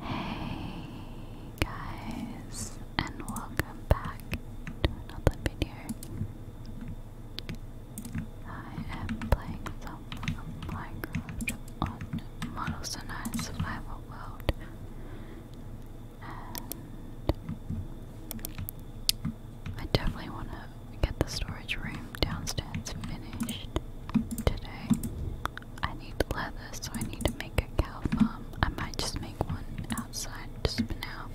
Hey guys, and welcome back to another video. I am playing some Minecraft on Model Survival World, and I definitely want to get the storage room downstairs finished today. I need leather, so I need to make a cow farm. I might just make one outside just for now.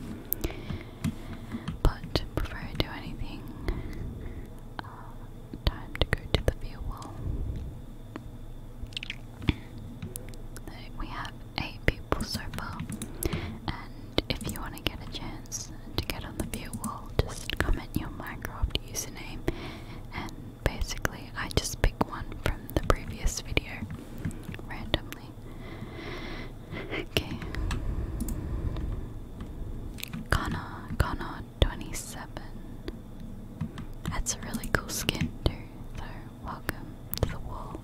But before I do anything, uh, time to go to the view wall. We have eight people so far, and if you want to get a chance to get on the view wall, just comment your Minecraft username and Basically, I just pick one from the previous video randomly. Okay. Connor, Connor 27. That's a really cool skin too, so welcome to the wall.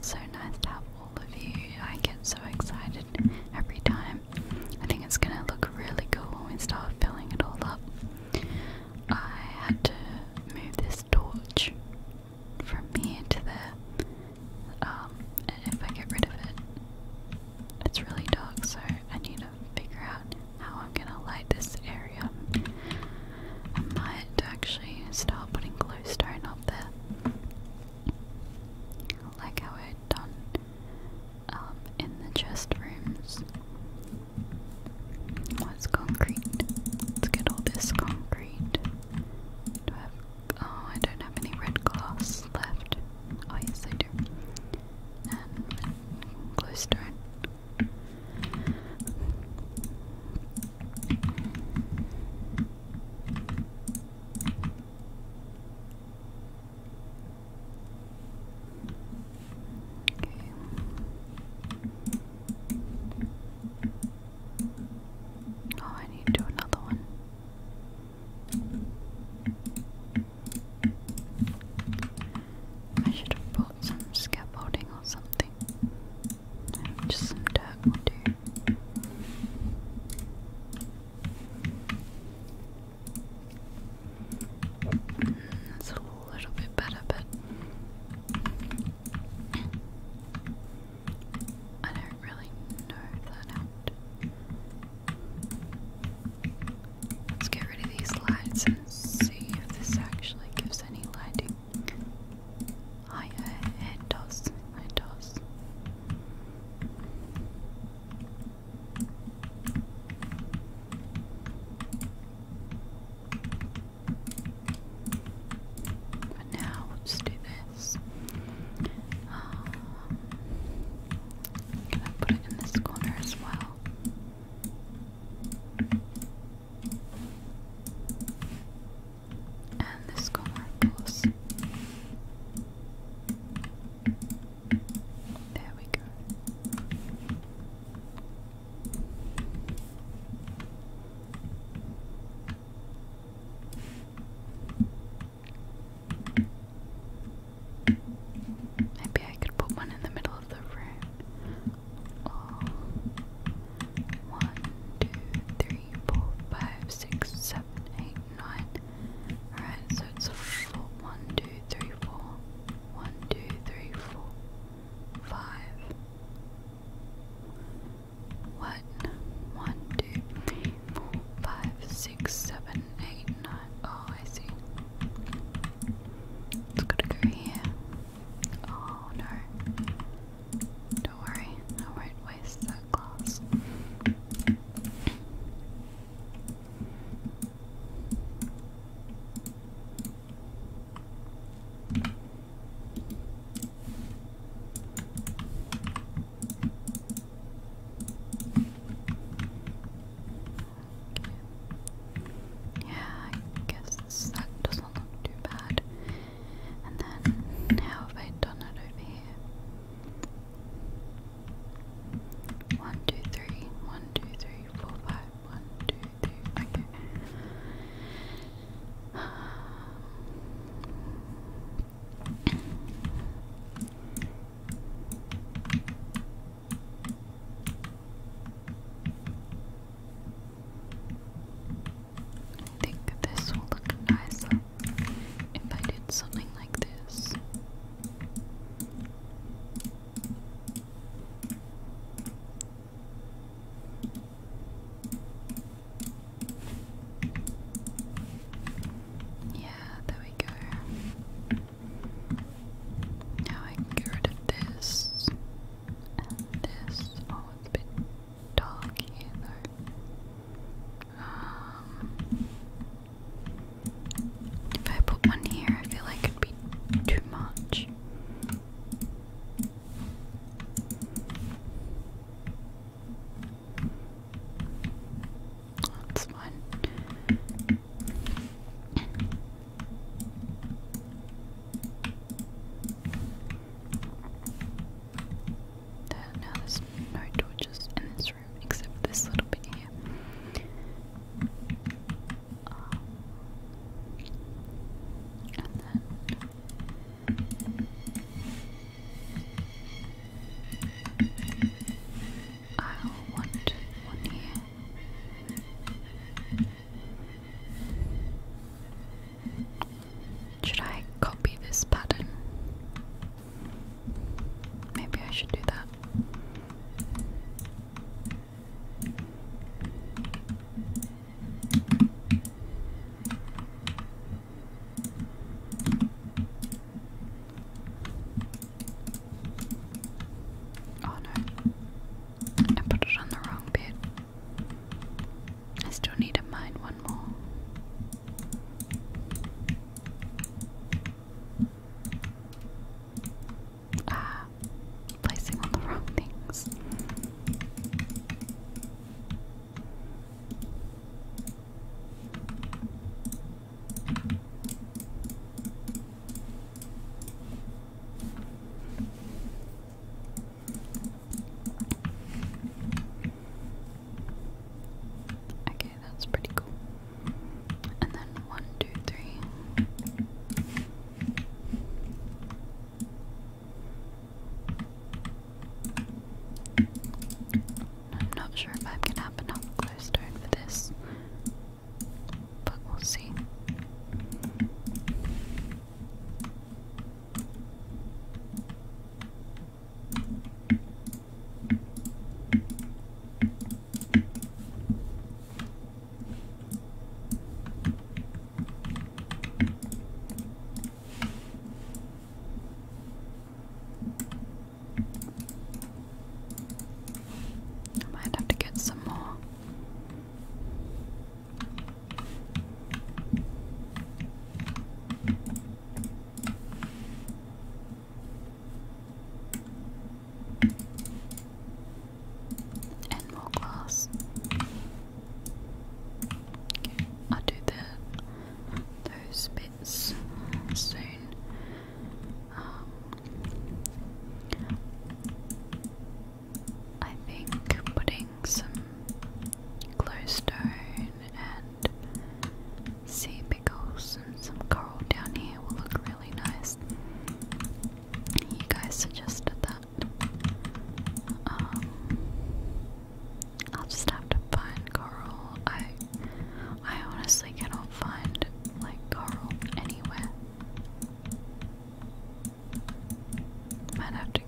so nice to have all of you. I get so excited every time. I think it's gonna look really cool when we start filling it all up. I had to move this torch from here to there. Um, and if I get rid of it, it's really dark, so I need to figure out how I'm gonna light this area. I might actually start putting glowstone up there, like how i done in the chest rooms was concrete. Let's get all this concrete. oh, I don't have any red glass left. Oh, yes, I do. And glowstone. Oh, I need to do another one. I should have bought some scaffolding or something. Just some dirt will that's a little bit better, but I don't really know that helped. Let's get rid of these lights and see if this actually gives any lighting. I uh, head toss, head but now let's do this. Um, i put it in this corner as well. And this corner, of there we go. Maybe I could put one in the middle of the room. One, two, three, four, five, six, seven, eight, nine, Alright, so it's a four. One, two, three, four. One, two, three, four. Five. What? One, two, three, four, five, six, seven, eight, nine. Oh, I see. It's to go here. Oh no. Don't worry, I won't waste that yeah, I guess that doesn't look too bad. And then, how have I done it over here? One, two, three, one, two, three, four, five, one, two, three, okay. I think this will look nicer if I did something like this. Yeah, there we go. Now I can get this and this. Oh, it's a bit dark though. Um, if I put one here, I feel like it'd be too much. That's fine. There, now no torches in this except this little bit here. I'll want one here. Should I copy this pattern? Maybe I should do that. Oh no, I put it on the wrong bit. I still need to mine one more. Ah, placing on the wrong things. Okay, that's pretty cool. And then one, two, three. I'm not sure if I'm gonna have this, but we'll see. I might have to get some more. And more glass. I'll do the those bits soon. Um, I think putting some glowstone and sea pickles and some coral down here will look really nice. You guys suggested that. Um, I'll just have to find coral. I I honestly cannot find like coral anywhere. Might have to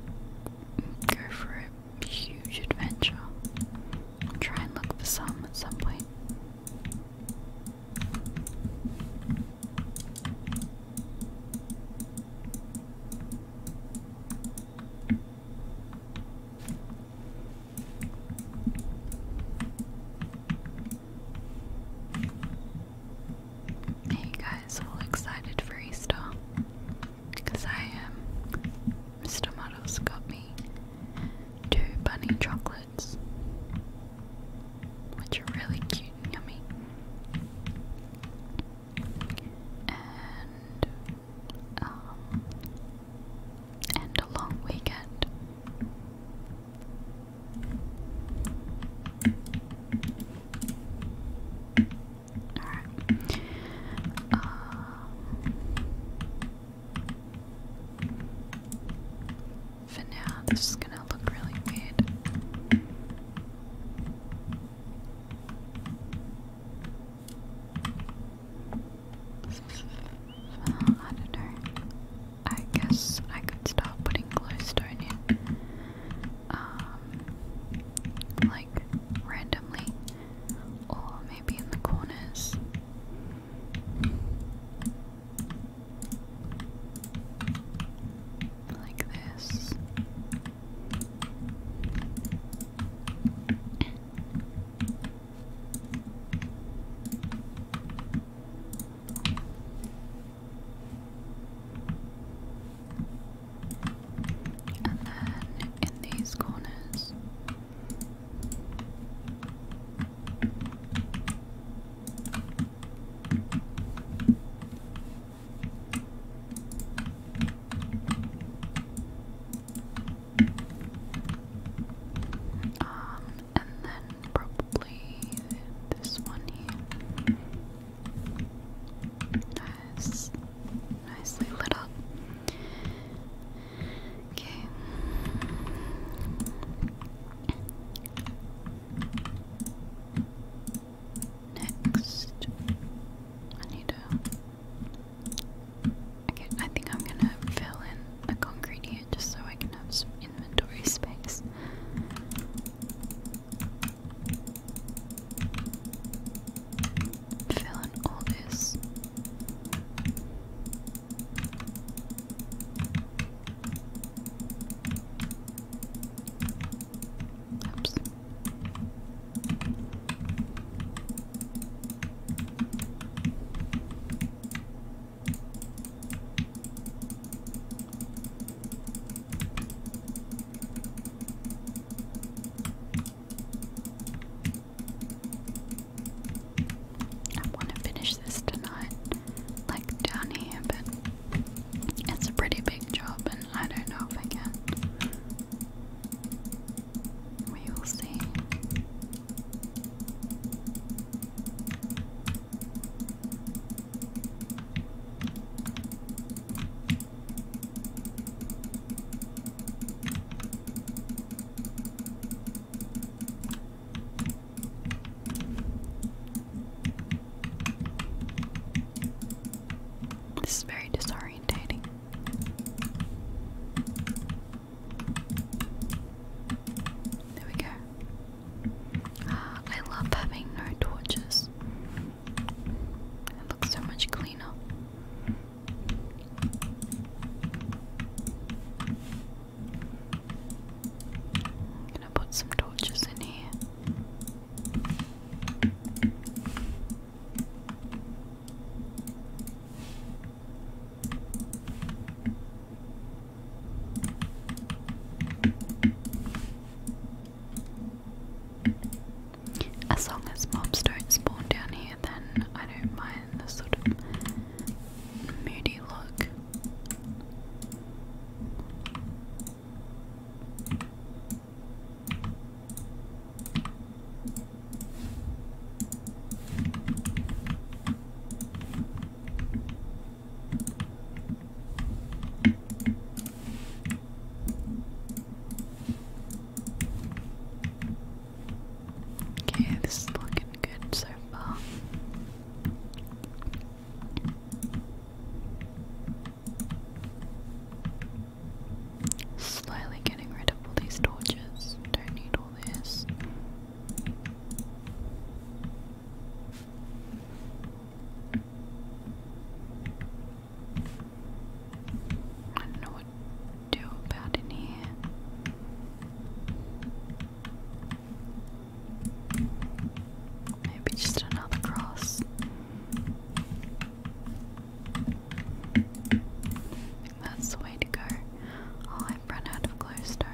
go for a huge adventure. I'll try and look for some at some point. Are guys all excited for Easter? Because I am. Um, Mr. Muddles got me two bunny chocolates, which are really cute and yummy. And um, and a long weekend. All right. Uh, for now, this is gonna look really weird. Well, I I guess I could start putting glowstone in. Um, like randomly. Or maybe in the corners. Like this. And then in these corners, um, and then probably this one here. nicely lit up. Okay. Next, I need a. Okay, I think I'm gonna fill in a concrete just so I can have inventory space fill in all this. Oops. I want to finish this tonight, like down here, but it's a pretty big job, and I don't know if I can. We will see. This is very disorientating. There we go. I love having no torches. It looks so much cleaner. I'm gonna put some torches in here. As long as mobs don't spawn down here, then I don't mind the sort of moody look. Okay, this is looking good so far. Slowly getting rid of all these torches. Don't need all this. I don't know what to do about in here. Maybe just another cross. that's the way to go. Oh, I've run out of glowstone.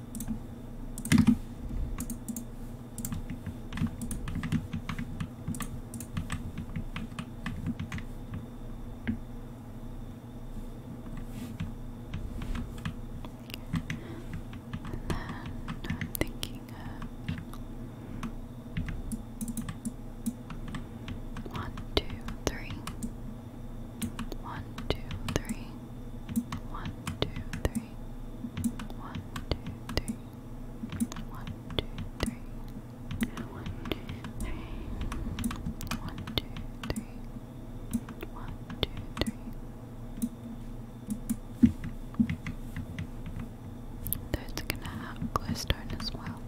And then I'm thinking one, two, three. One, two, three. One, two, three. One, two, three. One, two, three. One, two, three. One, two, three. One, two, three. That's gonna have glowstone as well.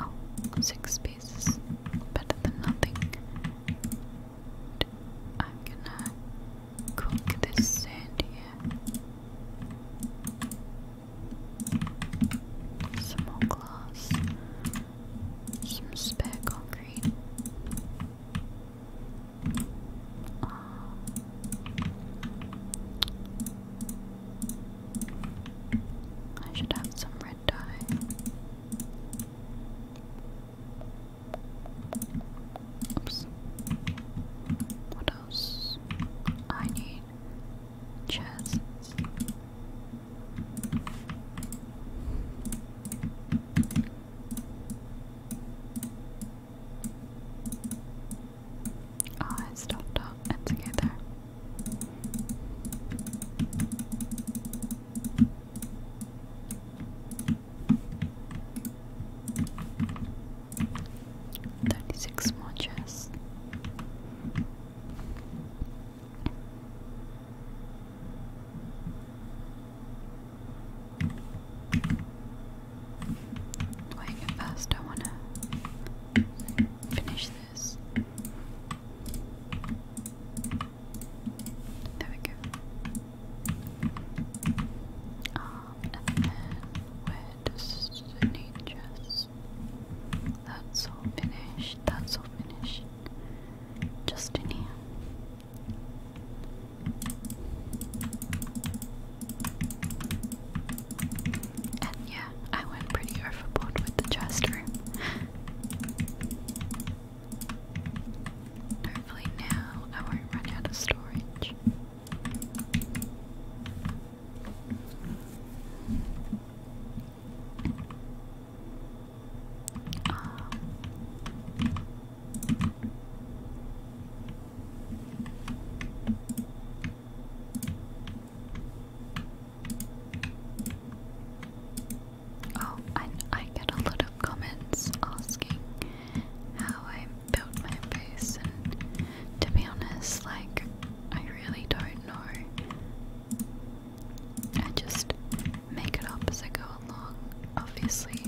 Oh, six pieces. Better than nothing. I'm gonna cook this sand here. Some glass. Some spare concrete. Uh, I should have some red dye. Oops. What else? I need chests. Ah, oh, I stopped up. 36 more chests. Wait, first I wanna finish there we go. Um, and then where does the need just that's all finished, that's all finished. Just in here. And yeah, I went pretty overboard with the chest room. Hopefully now I won't run out of storage. Um, Oh, and I get a lot of comments asking how I built my base, and to be honest, like, I really don't know. I just make it up as I go along. Obviously,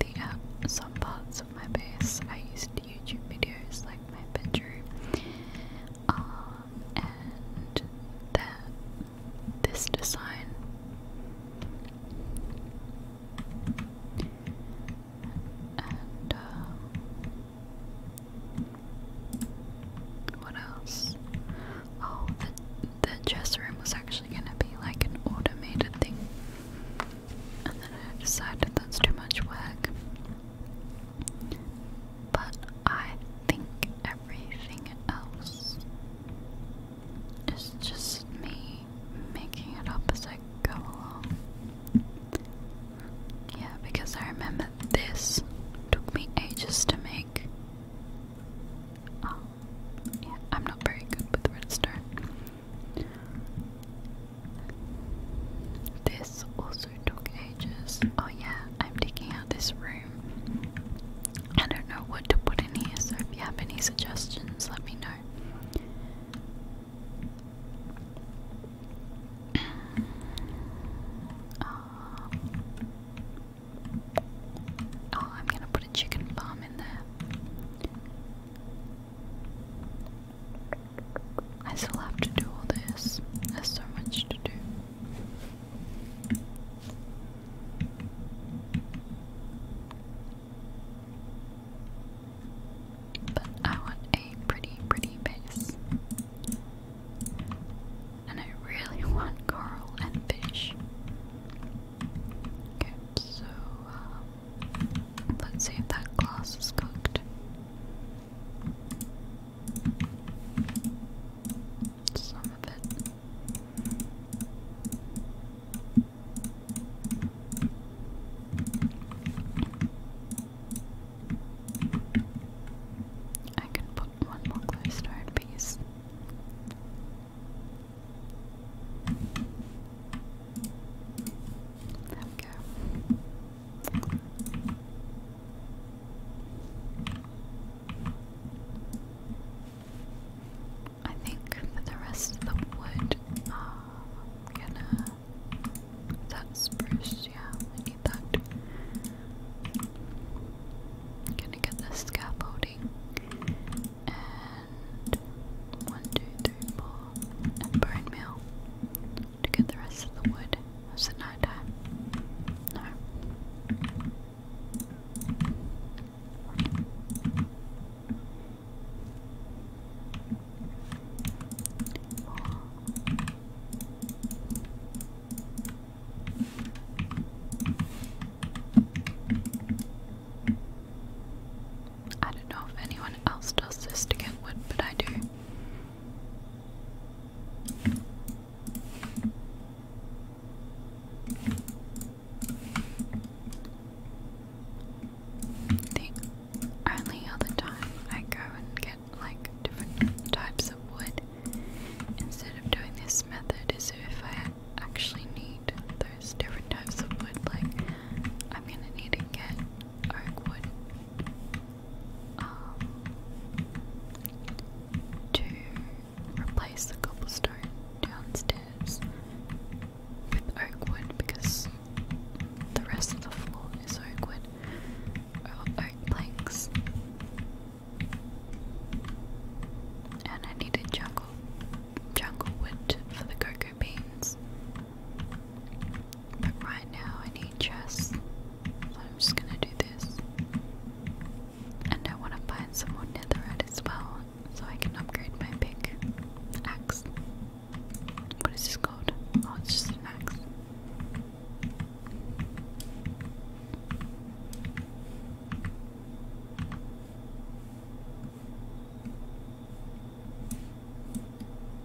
the uh, some parts of my base, I used YouTube videos, like my bedroom. Um, and that this design and um, what else? Oh, the, the dress room was actually gonna be like an automated thing, and then I decided that's too much work. But I think everything else is just me making it up as I go along. Yeah, because I remember this took me ages to make. Um, yeah, I'm not very good with redstone. This also took ages. Oh yeah, I'm digging out this room. I don't know what to put in here, so if you have any suggestions, let me know. Uh, oh. I'm gonna put a chicken farm in there. I still have to do all this. There's so much to do. But I want a pretty, pretty base. And I really want coral and fish. Okay, so, um, Let's see if that glass is cooked. Some of it. I can put one more glowstone piece. There we go. I think the rest of the wood, uh, gonna. That spruce, yeah, I need that. gonna get the scaffolding. And one, two, three, four, and bone to get the rest of the wood. Was it night time? No. I don't know if anyone else does this to get wood, but I do. The only other time I go and get like different types of wood instead of doing this method is if I actually need those different types of wood, like I'm gonna need to get oak um, to replace the cobblestone downstairs with oak because the rest of the floor is oak oak planks. And I needed jungle jungle wood for the cocoa beans. But right now I need chess. So I'm just gonna do this. And I wanna find someone some the netherite as well, so I can upgrade my big axe. What is this called? Oh, it's just an axe.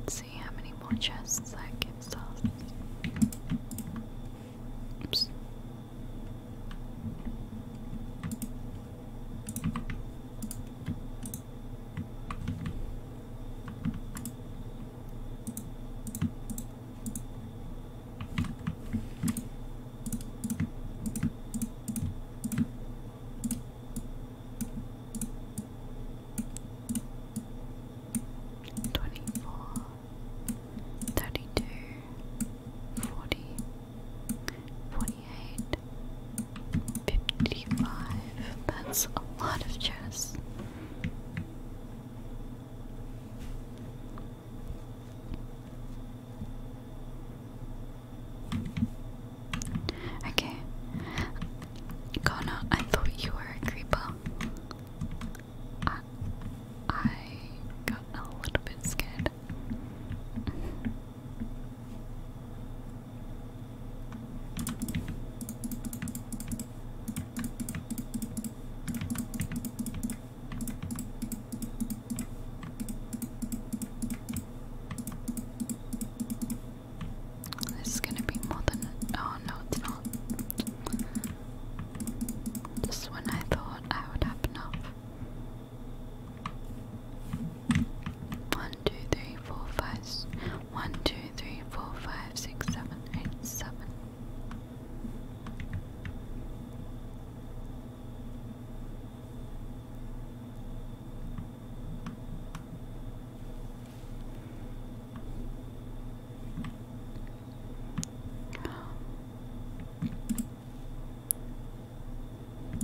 Let's see how many more chests I can solve. Oops. 24 32 40 48 Fifty-five. That's a lot of chess. Okay. Kona, I thought you were a creeper. I got a little bit scared. This is gonna be more than oh no it's not. Just when I thought I would have enough. Oh two, three, four, five, one, two, three, four, five, six, seven, eight, seven.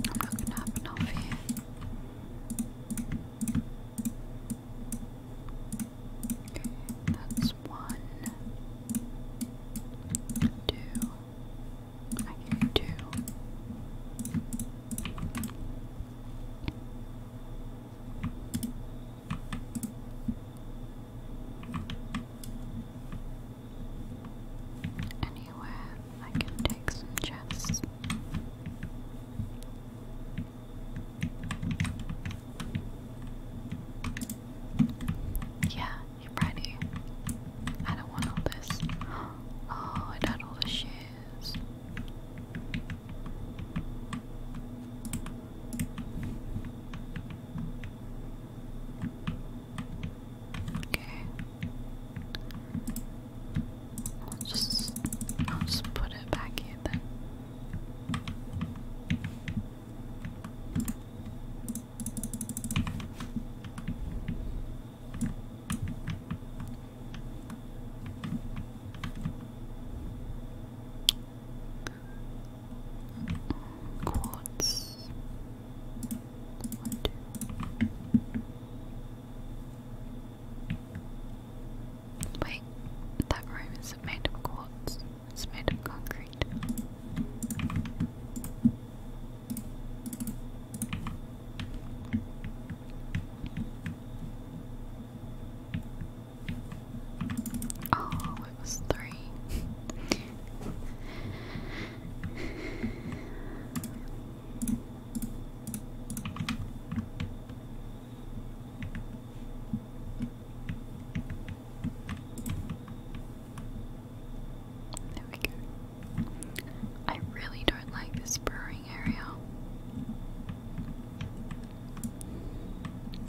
I'm not gonna have enough here. That's one, two. I get two. Anywhere I can take some chests. Yeah, you're ready. I don't want all this. Oh, I got all the shoes. Okay. I'll just, I'll just put it back in then. Quartz. One, two. Wait, that room isn't made of quartz, it's made of concrete. Oh, it was three. There we go. I really don't like this brewing area.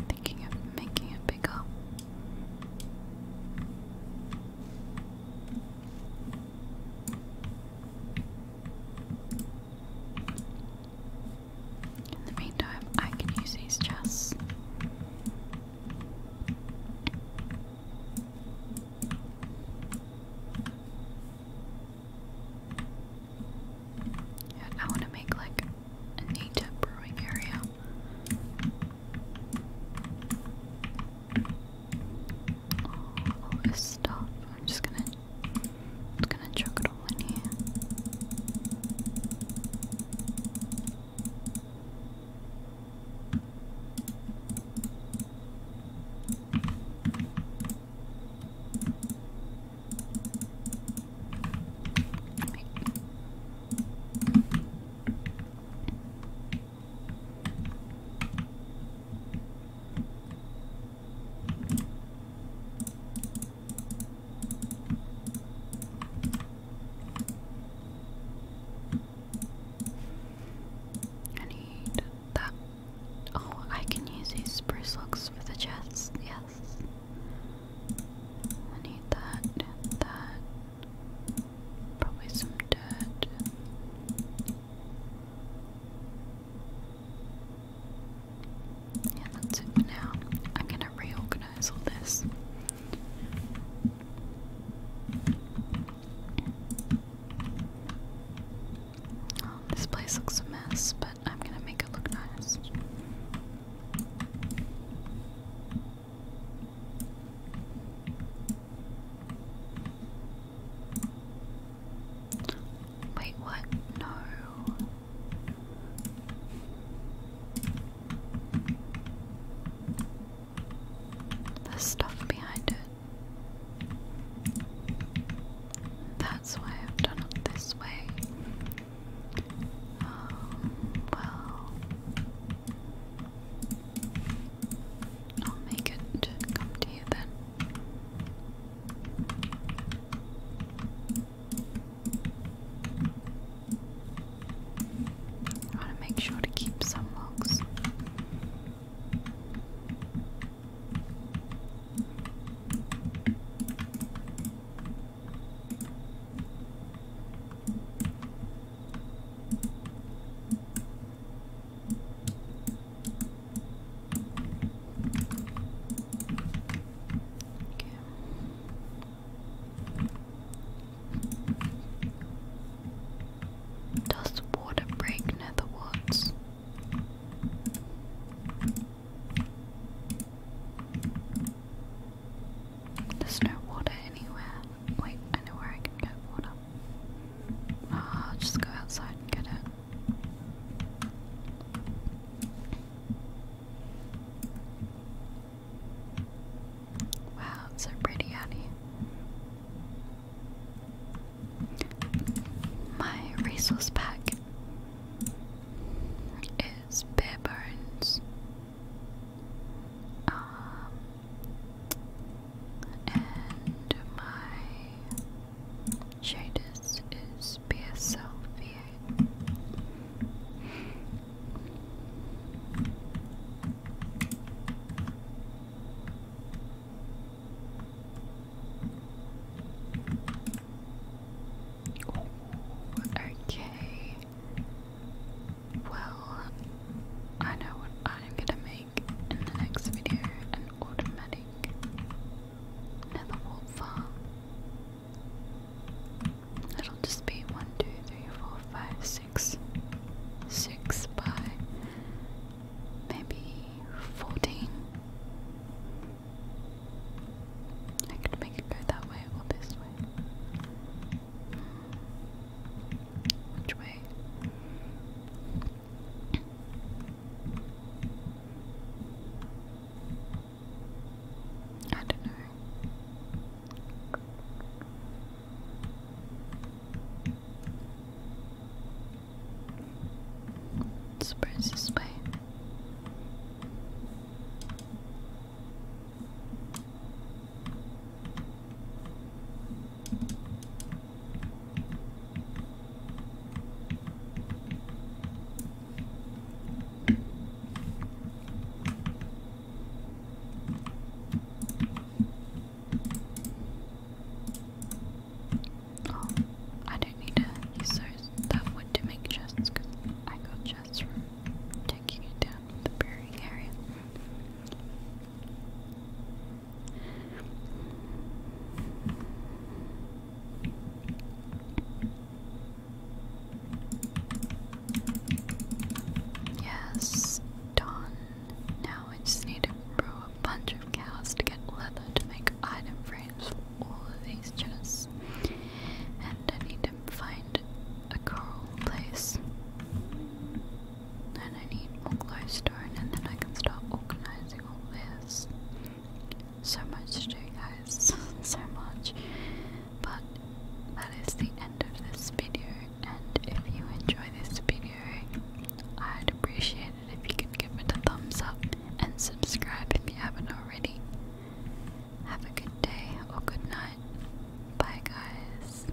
Thinking of making it bigger. In the meantime, I can use these chests. And I want to make like a neater brewing area all, this stuff. I'm just gonna, just gonna chuck it all in here. I need that. Oh, I can use these spruce logs for the chests. Yes. I need that. That. Probably some dirt. Yeah, that's it for now. I'm gonna reorganize all this. Oh, this place looks a mess, but I'm gonna make it look nice. Wait, what? No. There's stuff behind it. That's why I've done it this way. Um, well, I'll make it come to you then. I want to make sure to keep some logs. Does water break near the woods? There's no water anywhere. Wait, I know where I can get water. I'll ah, just go outside and get it. Wow, it's so pretty out My resource pack is bare bones. Um, and my shaders is PSL V8. okay. Well, I know what I'm gonna make make in the next video an automatic nether wall farm. It'll just be 1, by maybe 14. I could make it go that way or this way. Which way? I don't know. I suppose Oh, I don't need to use that wood make chests because I got chests from taking it down the burying area. Yes, done. Now I just need to brew a bunch of cows to get leather to make item frames for all of these chests. And I need to find a coral place. And I need more glowstone and then I can start organizing all this. So much to do guys, so much. But that is the end of this video and if you enjoy this video, I'd appreciate it if you could give it a thumbs up and subscribe if you haven't already. Have a good day or good night. Bye guys.